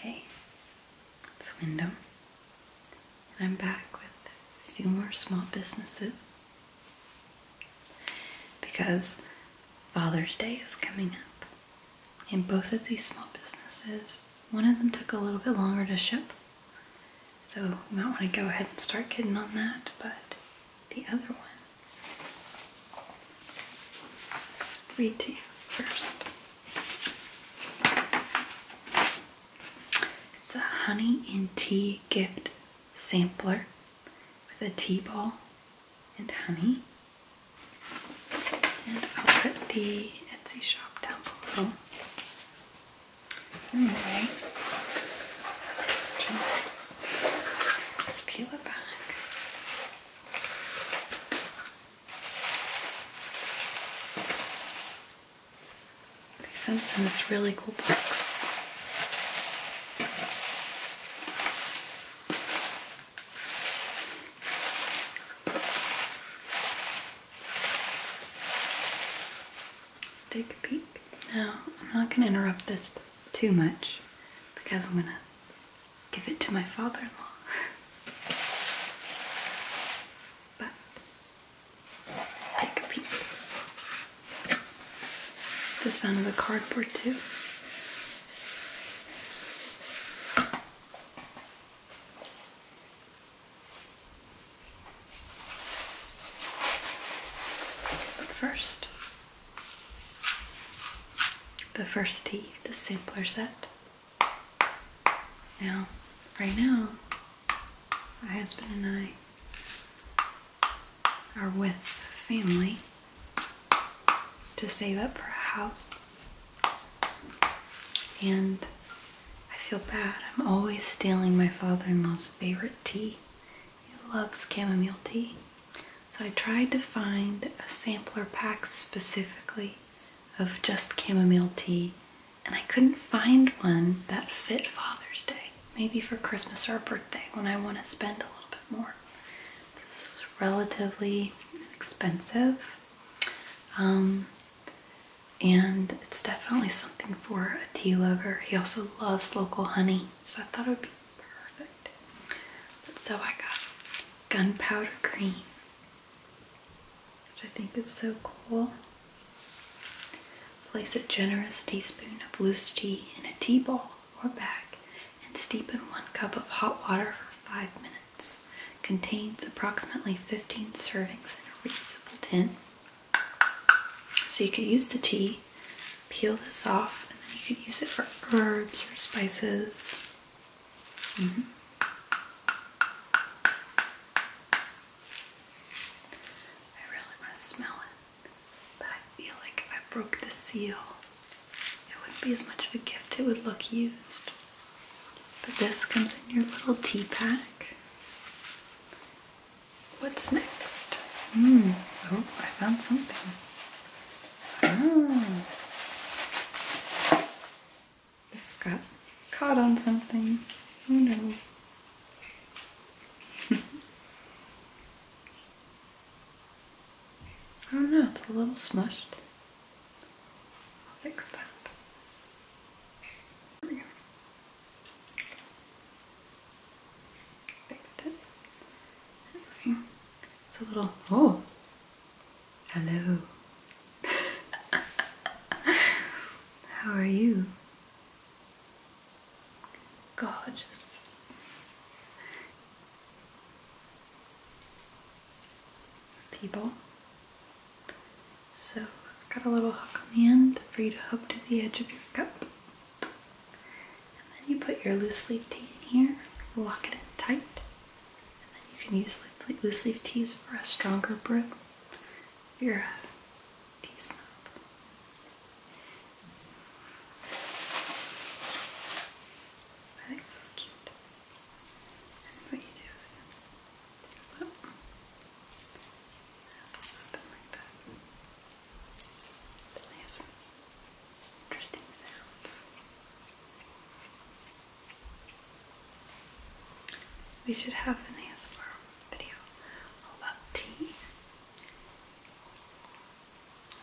Hey, it's Wyndham, and I'm back with a few more small businesses because Father's Day is coming up. And both of these small businesses, one of them took a little bit longer to ship, so you might want to go ahead and start getting on that, but the other one read to first. It's a honey and tea gift sampler with a tea ball and honey. And I'll put the Etsy shop down below. Anyway, peel it back. They sent in this really cool box. Let's take a peek. Now, I'm not going to interrupt this too much because I'm going to give it to my father in law. but take a peek. The sound of the cardboard, too. But first, the first tea, the simpler set. Now, right now, my husband and I are with family to save up for a house. And I feel bad. I'm always stealing my father in law's favorite tea. He loves chamomile tea. So I tried to find a sampler pack specifically of just chamomile tea, and I couldn't find one that fit Father's Day. Maybe for Christmas or birthday when I want to spend a little bit more. This is relatively expensive. Um, and it's definitely something for a tea lover. He also loves local honey, so I thought it would be perfect so I got gunpowder green, which I think is so cool. Place a generous teaspoon of loose tea in a tea ball or bag and steep in one cup of hot water for five minutes. Contains approximately 15 servings in a reusable tin. So you could use the tea, peel this off, and then you could use it for herbs or spices. Mm-hmm. I really want to smell it, but I feel like if I broke the seal, it wouldn't be as much of a gift, it would look used. But this comes in your little tea pack. What's next? Mm. Oh, I found something. Oh. This got caught on something. I don't know. it's a little smushed. I'll fix that. Fixed it. It's a little, oh, hello. How are you? Gorgeous. People. So it's got a little hook on the end for you to hook to the edge of your cup. And then you put your loose leaf tea in here, lock it in tight. And then you can use like loose leaf teas for a stronger grip. Your tea snob. I think this cute. what do you flip. Something like that. Nice interesting sounds. We should have an ASMR video all about tea.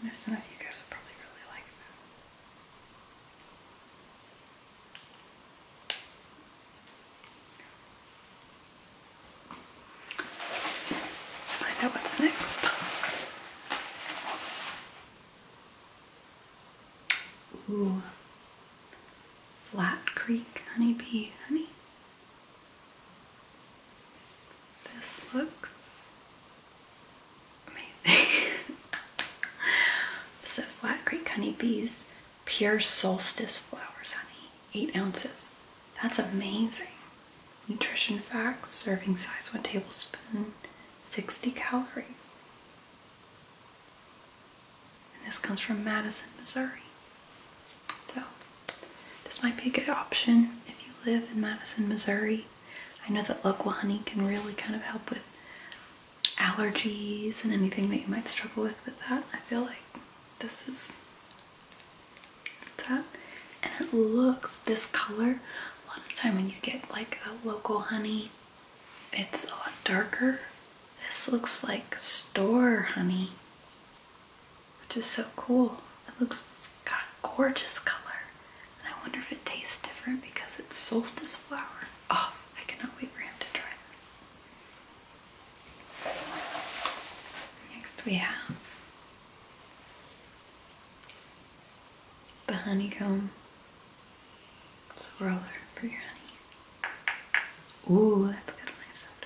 I know some of you guys would probably really like that. Let's find out what's next. Ooh. Flat Creek Honeybee Honey. This looks amazing. so Flat Creek Honeybees Pure Solstice Flowers Honey, 8 ounces. That's amazing. Nutrition facts, serving size 1 tablespoon. 60 calories. And this comes from Madison, Missouri. So, this might be a good option if you live in Madison, Missouri. I know that local honey can really kind of help with allergies and anything that you might struggle with with that. I feel like this is that. And it looks, this color a lot of time when you get like a local honey, it's a lot darker. This looks like store honey, which is so cool. It looks it's got gorgeous color. And I wonder if it tastes different because it's solstice flower. Oh, I cannot wait for him to try this. Next we have the honeycomb swirler for your honey. Ooh, that's has a nice sound.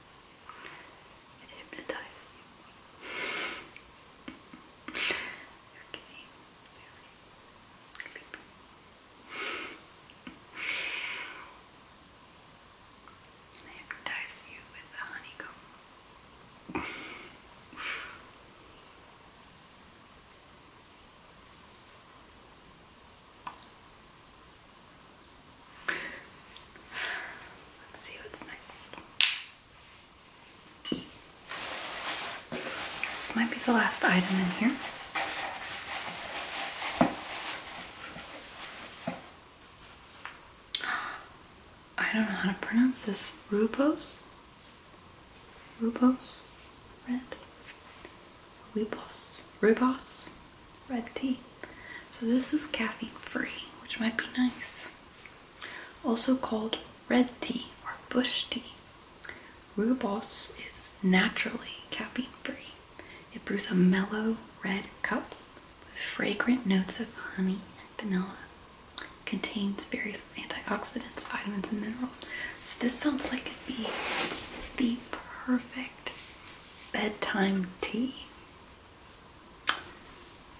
It hypnotized you. okay, very sleepy. I hypnotize you with a honeycomb. Let's see what's next. This might be the last item in here. I don't know how to pronounce this. Rubos? Rubos? Red? Rubos? Rubos? red tea. So this is caffeine free, which might be nice. Also called red tea or bush tea. Rooibos is naturally caffeine free. It brews a mellow red cup with fragrant notes of honey and vanilla. contains various antioxidants, vitamins, and minerals. So this sounds like it'd be the perfect bedtime tea.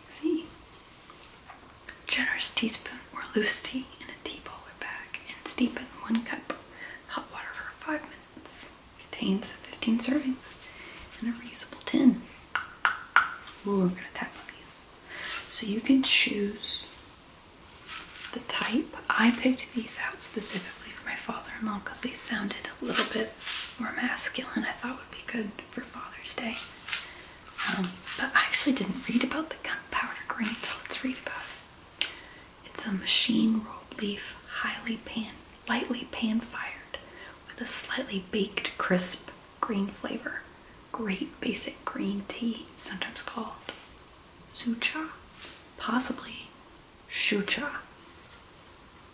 See? Generous teaspoon or loose tea in a tea bowl bag and steep in one cup hot water for five minutes. Contains 15 servings in a reusable tin. Ooh, I'm gonna tap on these. So you can choose the type. I picked these out specifically for my father-in-law because they sounded a little bit more masculine. I thought would be good for Father's Day. Um, but I actually didn't read about the gunpowder green. so let's read about it. It's a machine rolled leaf, lightly pan-fired, with a slightly baked, crisp green flavor. Great basic green tea, sometimes called sucha, possibly Shucha.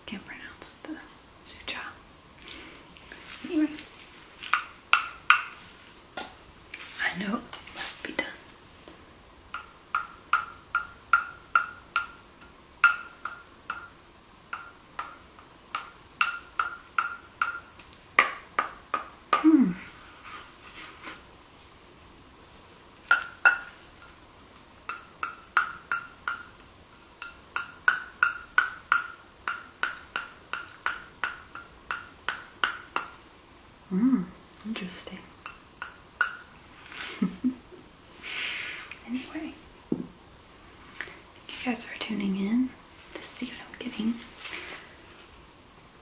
Can't pronounce the Sucha. Anyway. I know must be done. Hmm. Mmm, interesting. anyway, you guys are tuning in to see what I'm getting.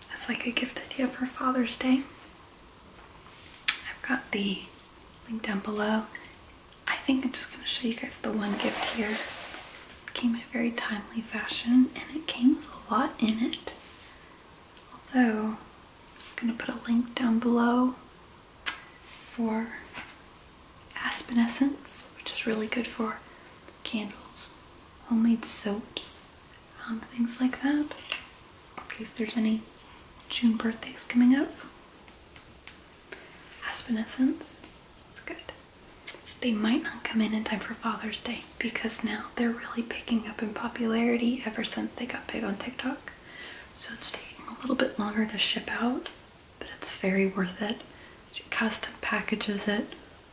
That's like a gift idea for Father's Day. I've got the link down below. I think I'm just going to show you guys the one gift here. came in a very timely fashion and it came with a lot in it. Although, I'm going to put a link down below for Aspen Essence, which is really good for candles, homemade soaps, um, things like that in case there's any June birthdays coming up. Aspenescence is good. They might not come in in time for Father's Day because now they're really picking up in popularity ever since they got big on TikTok. So it's taking a little bit longer to ship out, but it's very worth it. She custom packages it,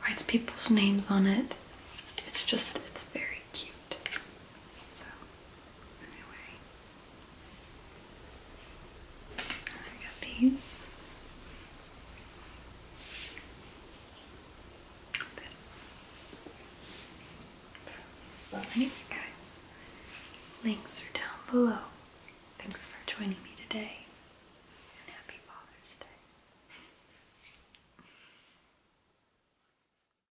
writes people's names on it. It's just, it's very cute. So Anyway. And got these. Anyway, guys, links are down below. Thanks for joining me today, and happy Father's Day.